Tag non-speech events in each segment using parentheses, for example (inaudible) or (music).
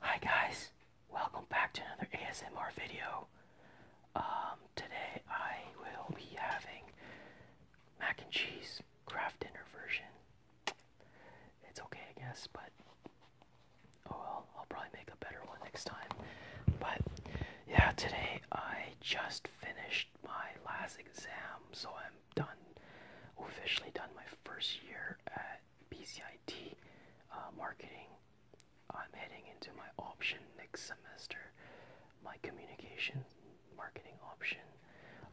Hi guys, welcome back to another ASMR video. Um, today I will be having mac and cheese craft dinner version. It's okay, I guess, but oh well, I'll probably make a better one next time. But yeah, today I just finished my last exam, so I'm done officially done my first year at BCIT uh, marketing. I'm heading into my option next semester, my communication marketing option.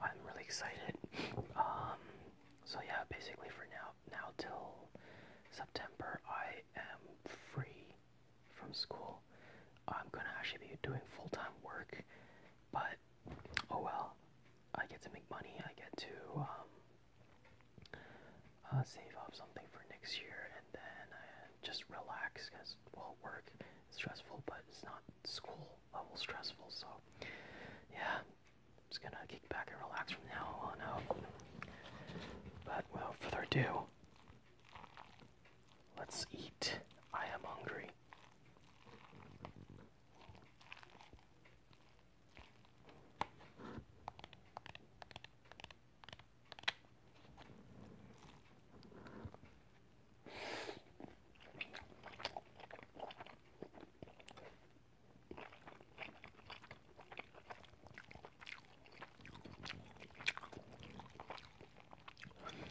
I'm really excited. (laughs) Um, so yeah, basically for now, now till September, I am free from school. I'm gonna actually be doing full-time work, but oh well, I get to make money, I get to um, uh, save up something for next year, and then uh, just relax because, well, work stressful, but it's not school level stressful, so yeah, it's gonna kick back and relax from now on out. But without further ado, Let's eat. I am hungry.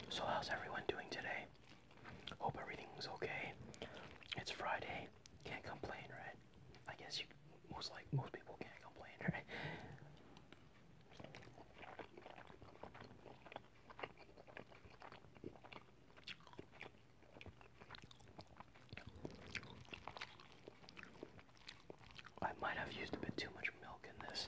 So, how's everyone doing today? Hope everything's okay. It's Friday. Can't complain, right? I guess you most like most people can't complain, right? I might have used a bit too much milk in this.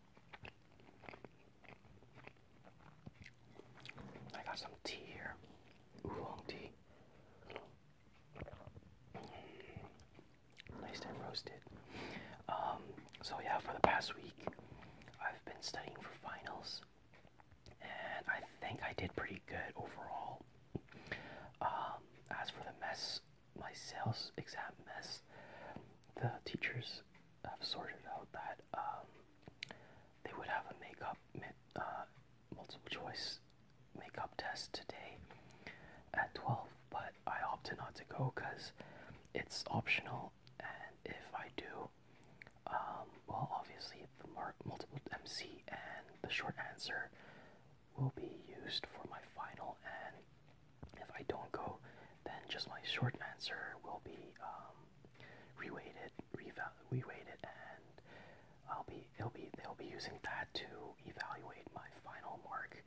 I got some tea here, oolong tea. Mm, nice roasted. Um, so yeah, for the past week, I've been studying for finals, and I think I did pretty good overall. Um, as for the mess, my sales exam mess, the teachers i have sorted out that um, they would have a makeup uh, multiple choice makeup test today at 12, but I opted not to go because it's optional, and if I do, um, well, obviously the mark multiple MC and the short answer will be used for my final and if I don't go, then just my short answer will be um, reweighted, reweighted, and I'll be, it'll be, they'll be using that to evaluate my final mark.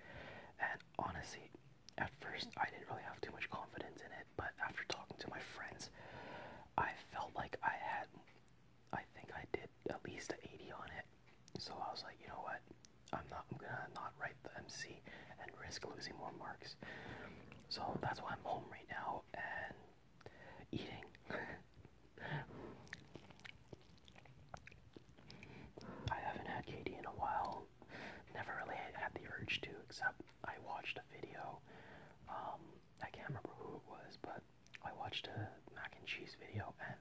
And honestly, at first I didn't really have too much confidence in it, but after talking to my friends, I felt like I had, I think I did at least an 80 on it. So I was like, you know what, I'm not. I'm gonna not write the MC and risk losing more marks. So that's why I'm home right now and eating. (laughs) I haven't had Katie in a while. Never really had the urge to, except I watched a video. Um, I can't remember who it was, but I watched a mac and cheese video and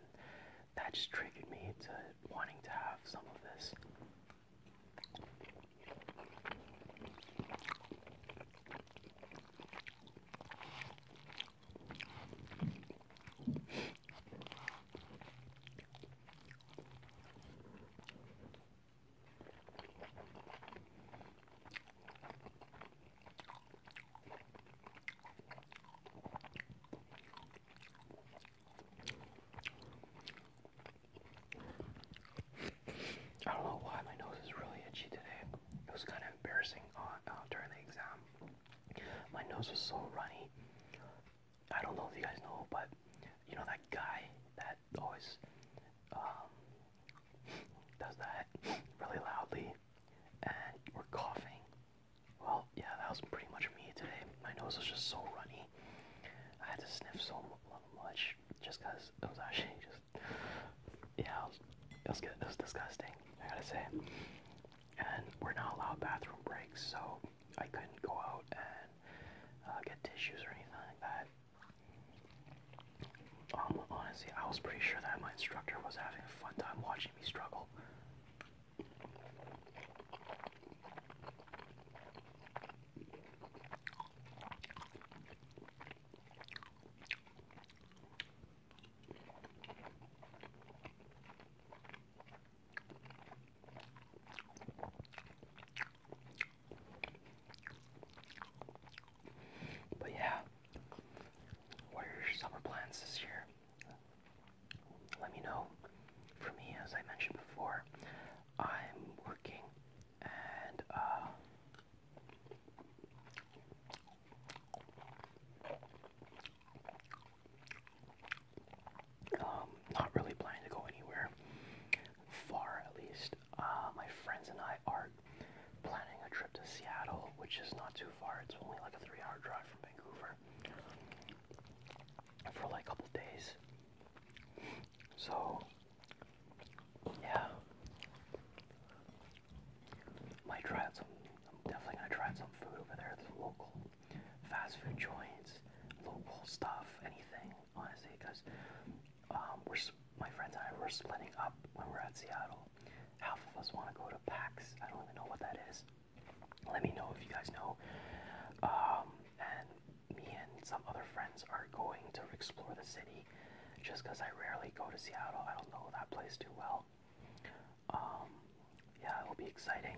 that just triggered me to wanting to have some of this. I don't know why my nose is really itchy today. It was kind of embarrassing uh, during the exam. My nose was so runny. I don't know if you guys know, but you know that guy that always um, does that (laughs) really loudly and we're coughing well, yeah, that was pretty much me today. My nose was just so runny. I had to sniff so much just because it was actually (laughs) just, yeah, it was, good. It was disgusting, I gotta say. And we're not allowed bathroom breaks, so I couldn't go out and uh, get tissues or anything like that. Um, honestly, I was pretty sure that my instructor was having a fun time watching me struggle. But yeah, what are your summer plans this year? let me know. For me, as I mentioned before, I'm working and uh, um, not really planning to go anywhere far, at least. Uh, my friends and I are planning a trip to Seattle, which is not too far. It's only like a three-hour drive from Vancouver for like a couple days. So, yeah, might try some. I'm definitely gonna try some food over there. It's local fast food joints, local stuff, anything. Honestly, because um, we're my friends and I were splitting up when we're at Seattle. Half of us want to go to PAX. I don't even know what that is let me know if you guys know. Um, and me and some other friends are going to explore the city just because I rarely go to Seattle. I don't know that place too well. Um, yeah, it'll be exciting.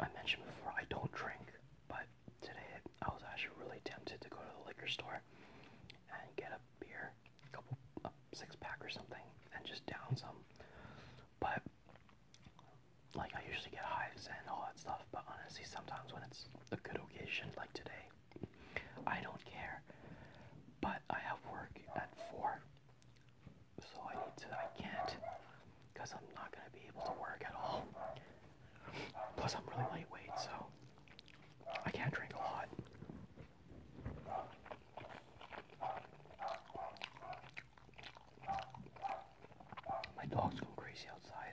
I mentioned before I don't drink, but today I was actually really tempted to go to the liquor store and get a beer, a couple, a six pack or something, and just down some. But like I usually get hives and all that stuff, but honestly, sometimes when it's a good occasion like today, I don't care. But I have work at four, so I need to. I can't, cause I'm not gonna be able to work at all. Plus, I'm really lightweight, so I can't drink a lot. My dog's going crazy outside.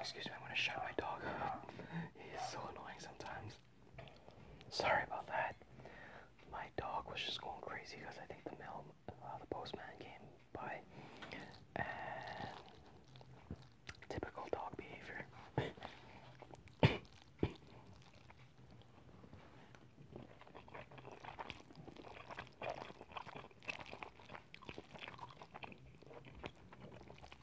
Excuse me, i want to shut my dog up. (laughs) He is so annoying sometimes. Sorry about that. My dog was just going crazy because I think the mail, uh, the postman came by, and typical dog behavior.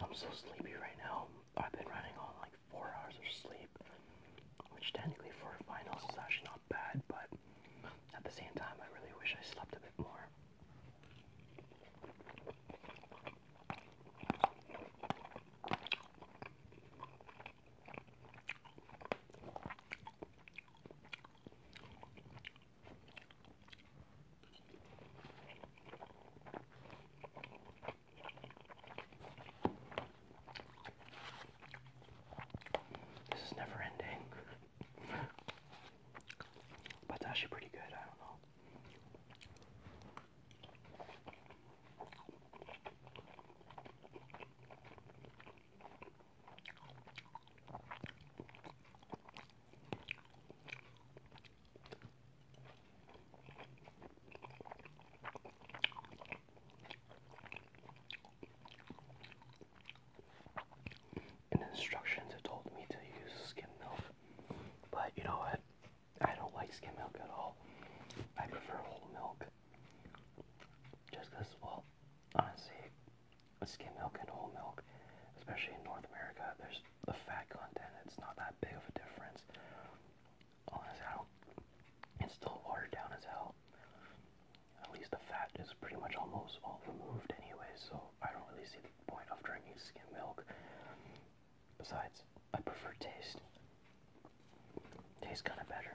I'm so sleepy right now. I've been running on like four hours of sleep, which technically for finals is actually not bad, but at the same time, I really wish I slept a bit more. This is never ending. but it's actually pretty good, I don't know. In instructions, told me to use skim milk, but you know what? I don't like skim milk at all. I prefer whole milk. Just because, well, honestly, skim milk and whole milk, especially in North America, there's the fat content, it's not that big of a difference on It's still watered down as hell. At least the fat is pretty much almost all removed anyway, so I don't really see the point of drinking skim milk. Besides, I prefer taste. Tastes kind of better.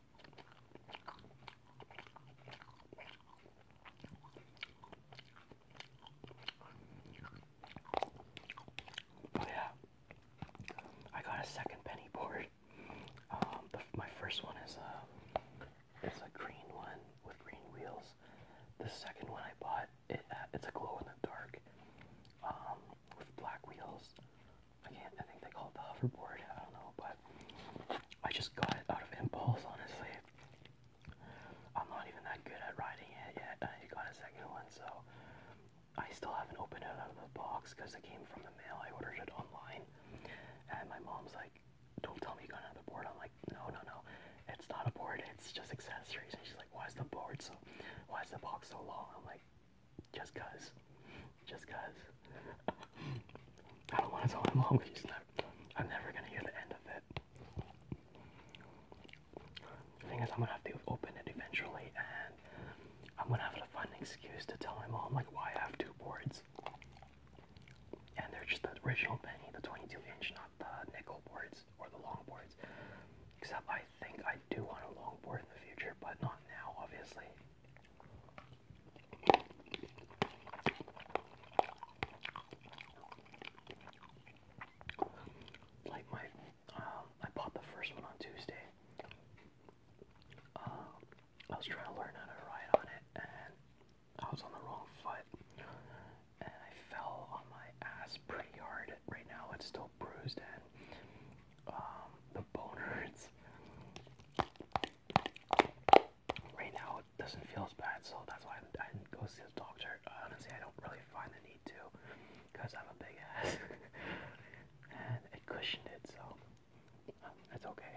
Oh, yeah, I got a second penny board. Um, the, my first one is a uh, it's a green one with green wheels. The second one I bought it uh, it's a glow in the dark um, with black wheels. I can't, I think they call it the hoverboard, I don't know, but I just got it out of impulse, honestly. I'm not even that good at riding it yet, and I got a second one, so I still haven't opened it out of the box because it came from the mail. I ordered it online, and my mom's like, don't tell me you got another board. I'm like, no, no, no, it's not a board, it's just accessories. And she's like, why is the board so, why is the box so long? I'm like, just cause. Just cause. (laughs) I don't want to tell my mom because she's I'm never gonna hear the end of it. The thing is, I'm gonna have to open it eventually, and I'm gonna have a fun excuse to tell my mom like why I have two boards, and they're just the original penny, the 22 inch, not the nickel boards or the long boards. Except I think I do want a long board in the future, but not now, obviously. Like my, um, I bought the first one on Tuesday. Um, I was trying to learn how to ride on it, and I was on the wrong foot, and I fell on my ass pretty hard. Right now, it's still bruised, and um, the bone hurts. Right now it doesn't feel as bad, so that's why I didn't go see the doctor. Honestly, I don't really find the need to because I have a big ass (laughs) and it cushioned it, so that's um, okay.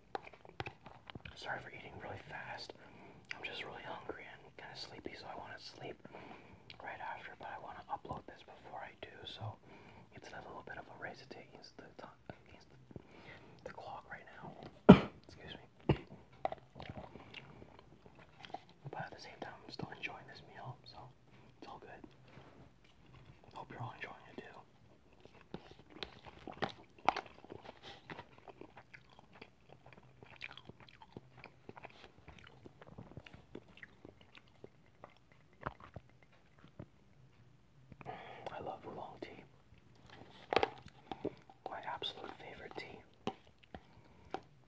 Sorry for eating really fast. I'm just really hungry and kind of sleepy, so I want to sleep right after, but I want to upload this before I do, so it's a little bit of a race against the, against the clock right now. (coughs) Excuse me. But at the same time, I'm still enjoying this meal, so it's all good. Hope you're all enjoying it too. I love oolong tea. My absolute favorite tea.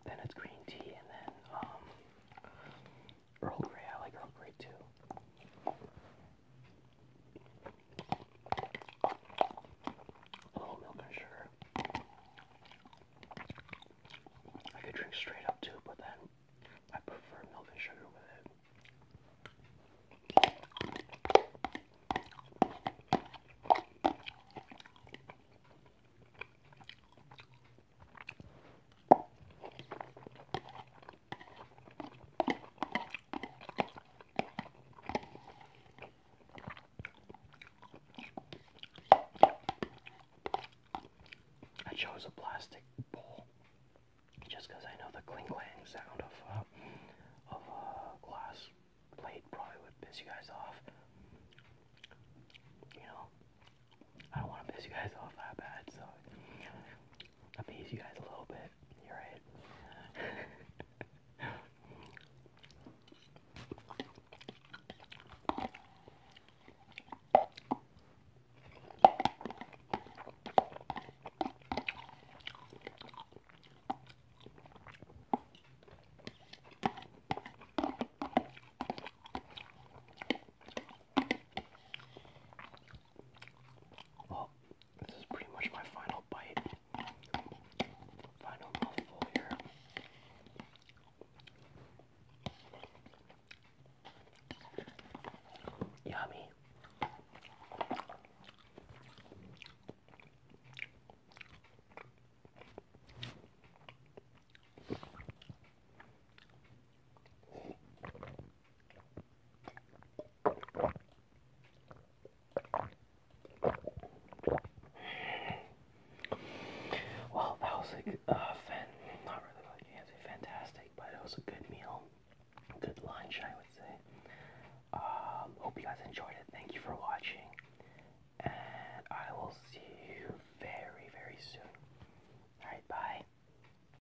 Then it's green tea, and then um, Earl Grey. I like Earl Grey too. A little milk and sugar. I could drink straight up too, but then I prefer milk and sugar with it. I chose a plastic bowl just because I know the clink-clang sound of uh, of a uh, glass plate probably would piss you guys off. You know, I don't want to piss you guys off that bad, amaze you guys a little bit. You're right. Well, this is pretty much my final bite. Final mouthful here. Yummy. Well, that was a uh, not really like you can fantastic, but it was a good meal, good lunch, I would say. Um, hope you guys enjoyed it. Thank you for watching, and I will see you very, very soon. All right, bye.